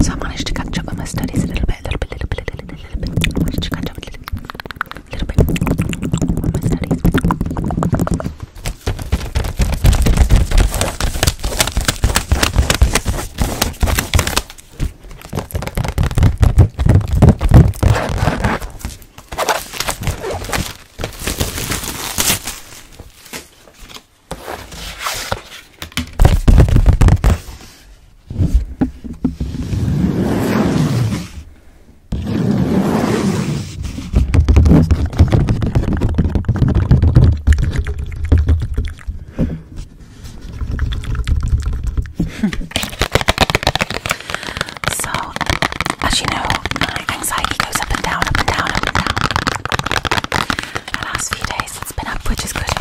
So I managed to catch up with my studies a little bit, a little bit, a little bit, a little bit, a little bit. I managed to catch up a little, little bit with my studies so, as you know, my anxiety goes up and down, up and down, up and down. The last few days it's been up, which is good, good.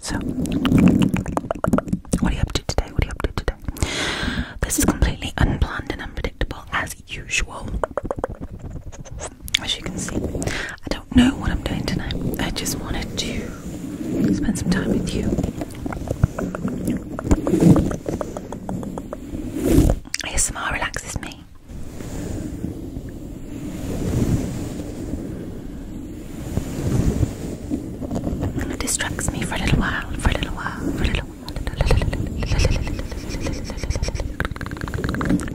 So, what are you up to today? What are you up to today? This is completely unplanned and unpredictable, as as usual. As you can see, I don't know what I'm doing tonight. I just wanted to spend some time with you. ASMR relaxes me. it distracts me for a little while, for a little while, for a little while.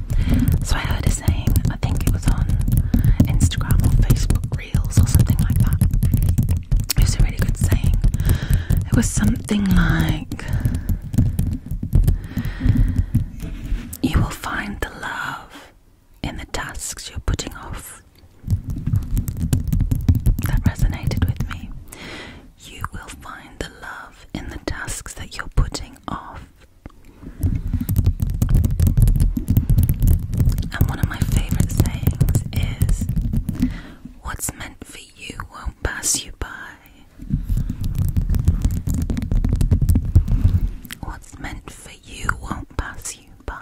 So I heard a saying, I think it was on Instagram or Facebook Reels or something like that. It was a really good saying. It was something like, You will find the love in the tasks you're putting off. That resonated with me. You will find the love in the tasks that you're putting off. And one of my favourite sayings is what's meant for you won't pass you by. What's meant for you won't pass you by.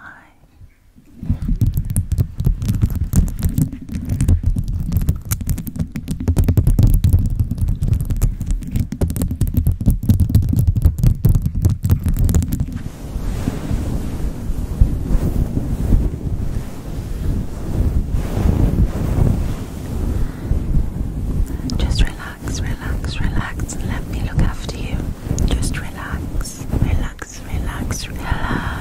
Just relax, relax, relax, and let me look after you. Just relax, relax, relax, relax, relax, relax.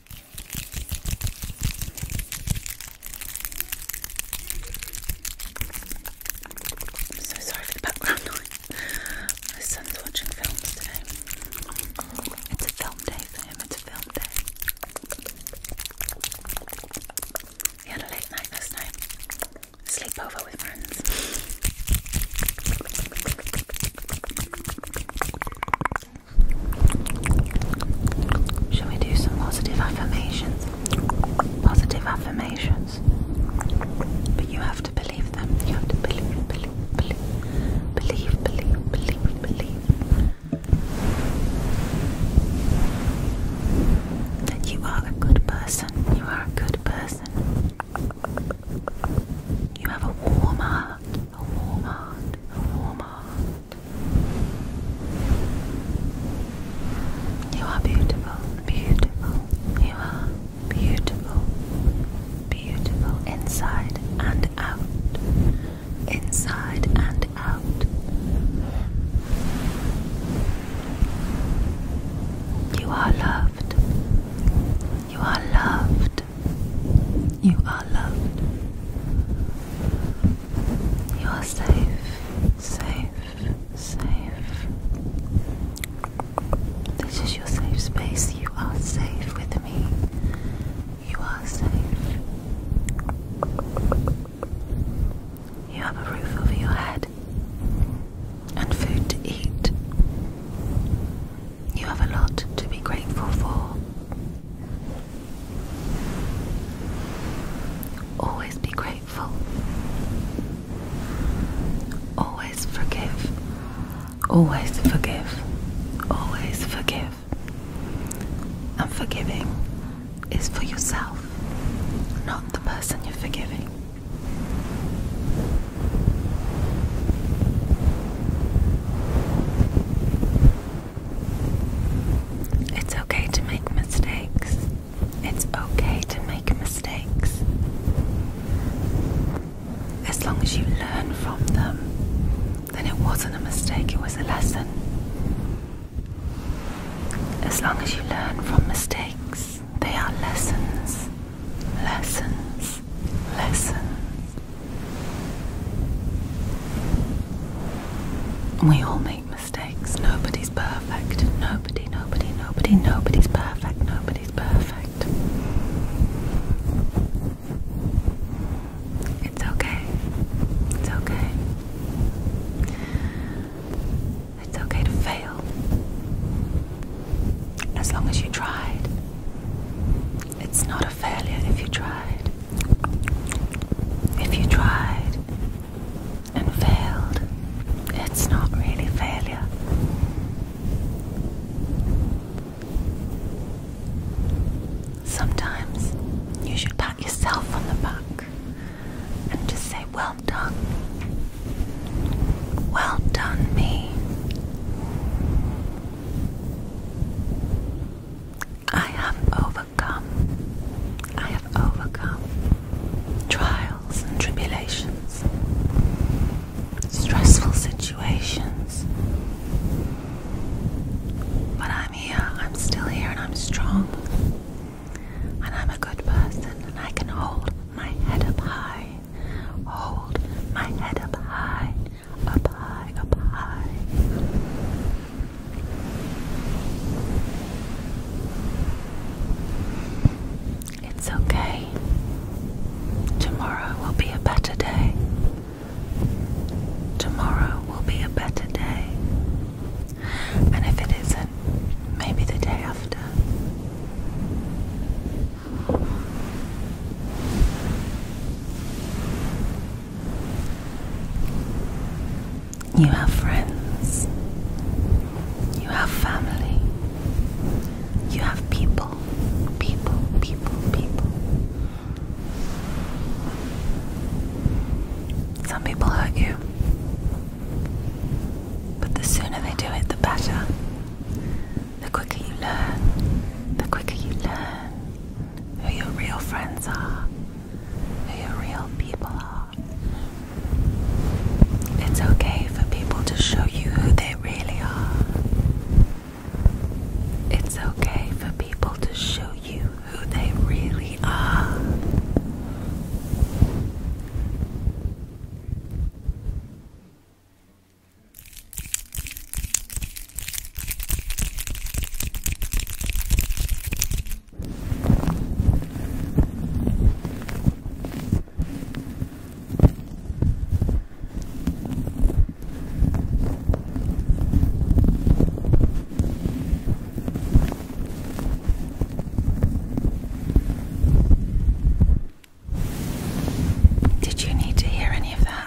I'm so sorry for the background noise. My son's watching films today. It's a film day for him, it's a film day. He had a late night last night. Sleepover with friends. Shall we do some positive affirmations? Positive affirmations. But you have to believe them. You have to believe, believe, believe, believe, believe, believe, believe. That you are a good person. You are a good person. You have a warm heart. A warm heart, a warm heart. You are beautiful, beautiful. You are beautiful, beautiful. Inside and out. Inside and out. You are loved. You are loved loved. You are loved. You are safe, safe, safe. This is your safe space. You are safe with me. You are safe. You have a roof over your head and food to eat. You have a lot to be grateful for. Always be grateful. Always forgive. Always forgive. Always forgive. And forgiving is for yourself, not the person you're forgiving. It's okay to make mistakes. It's okay to make mistakes. As long as you learn from them, then it wasn't a mistake, it was a lesson. As long as you learn from mistakes, they are lessons, lessons, lessons, we all make mistakes. Nobody's perfect. Nobody, nobody, nobody, nobody's perfect. Nobody's perfect. It's okay. It's okay. It's okay to fail. As long as you tried. It's not a failure if you tried. If you tried and failed, it's not really failure. Sometimes you should pat yourself on the back and just say, Well done. Well done, me. I have overcome. I have overcome trials and tribulations, stressful situations. But I'm here, I'm still here, and I'm strong. And I'm a good person, and I can hold my head up high. Hold my head up high up high, up high. It's okay. Tomorrow will be a better day. Tomorrow will be a better day. And if it isn't, maybe the day after. You have friends, you have family, you have people, people, people, people. Some people hurt you, but the sooner they do it, the better. The quicker you learn, the quicker you learn, who your real friends are, who your real people are. It's okay for people to show you who they really are. It's okay for people to show you who they really are. Did you need to hear any of that?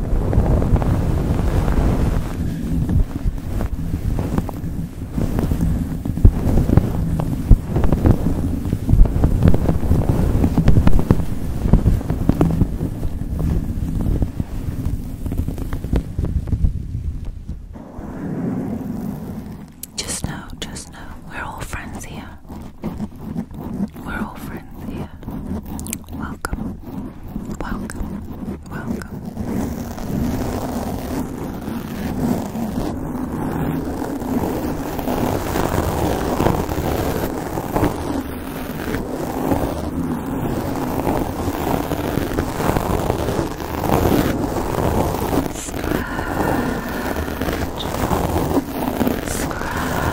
Just know, just know, we're all friends here. We're all friends here. welcome, welcome, welcome. Scratch. Scratch.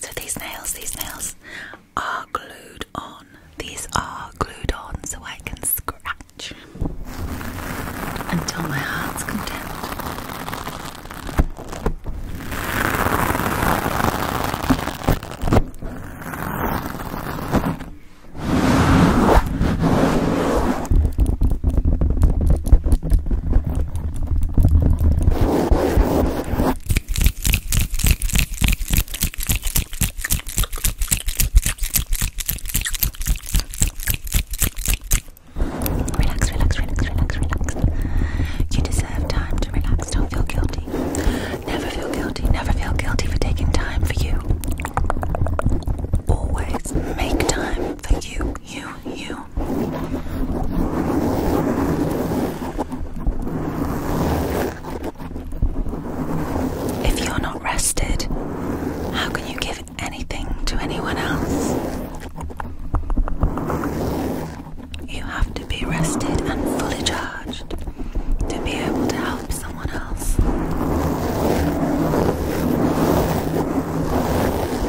So these nails, these nails are glued on. These are glued on so I can scratch until my heart's content. Relax, relax, relax, relax, relax. You deserve time to relax. Don't feel guilty. Never feel guilty. Never feel guilty for taking time for you. Always make time for you you, you. If you're not rested, how can you give anything to anyone else? You have to be rested and fully charged to be able to help someone else.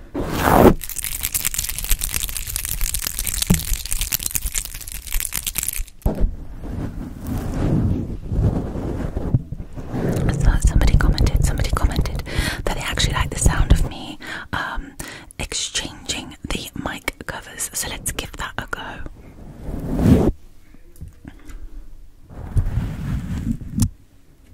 So somebody commented, somebody commented that they actually like the sound of me um, exchanging the mic covers. So let's give that a go.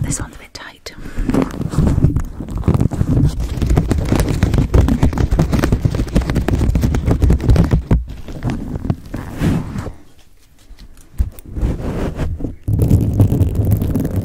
This one's a bit tight.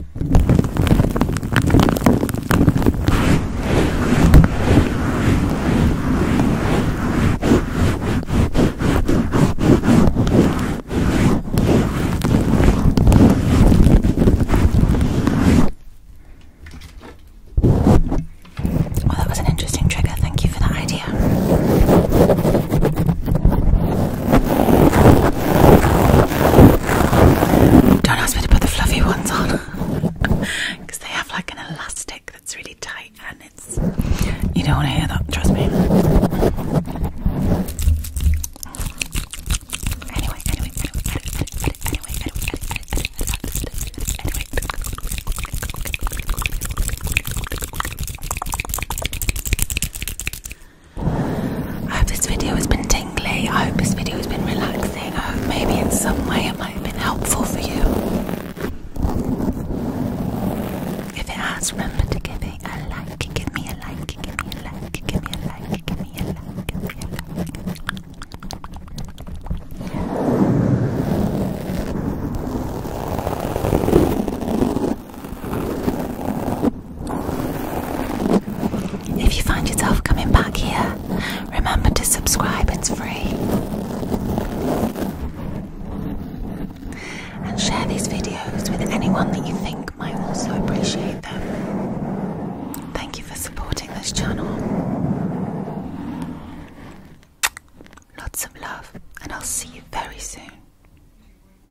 Well, that was an interesting trigger. Thank you for that idea. Don't ask me to put the fluffy ones on they have like an elastic that's really tight and it's. You don't want to hear that, trust me. I hope this video has been tingly. I hope this video has been relaxing. I hope maybe in some way it might have been helpful for you. If it has, remember to give it a like. Give me a like. Give me a like. Give me a like. Give me a like. If you find yourself coming back here, remember to subscribe, it's free. And share these videos with anyone that you think might also appreciate them. Thank you for supporting this channel. Lots of love, and I'll see you very soon.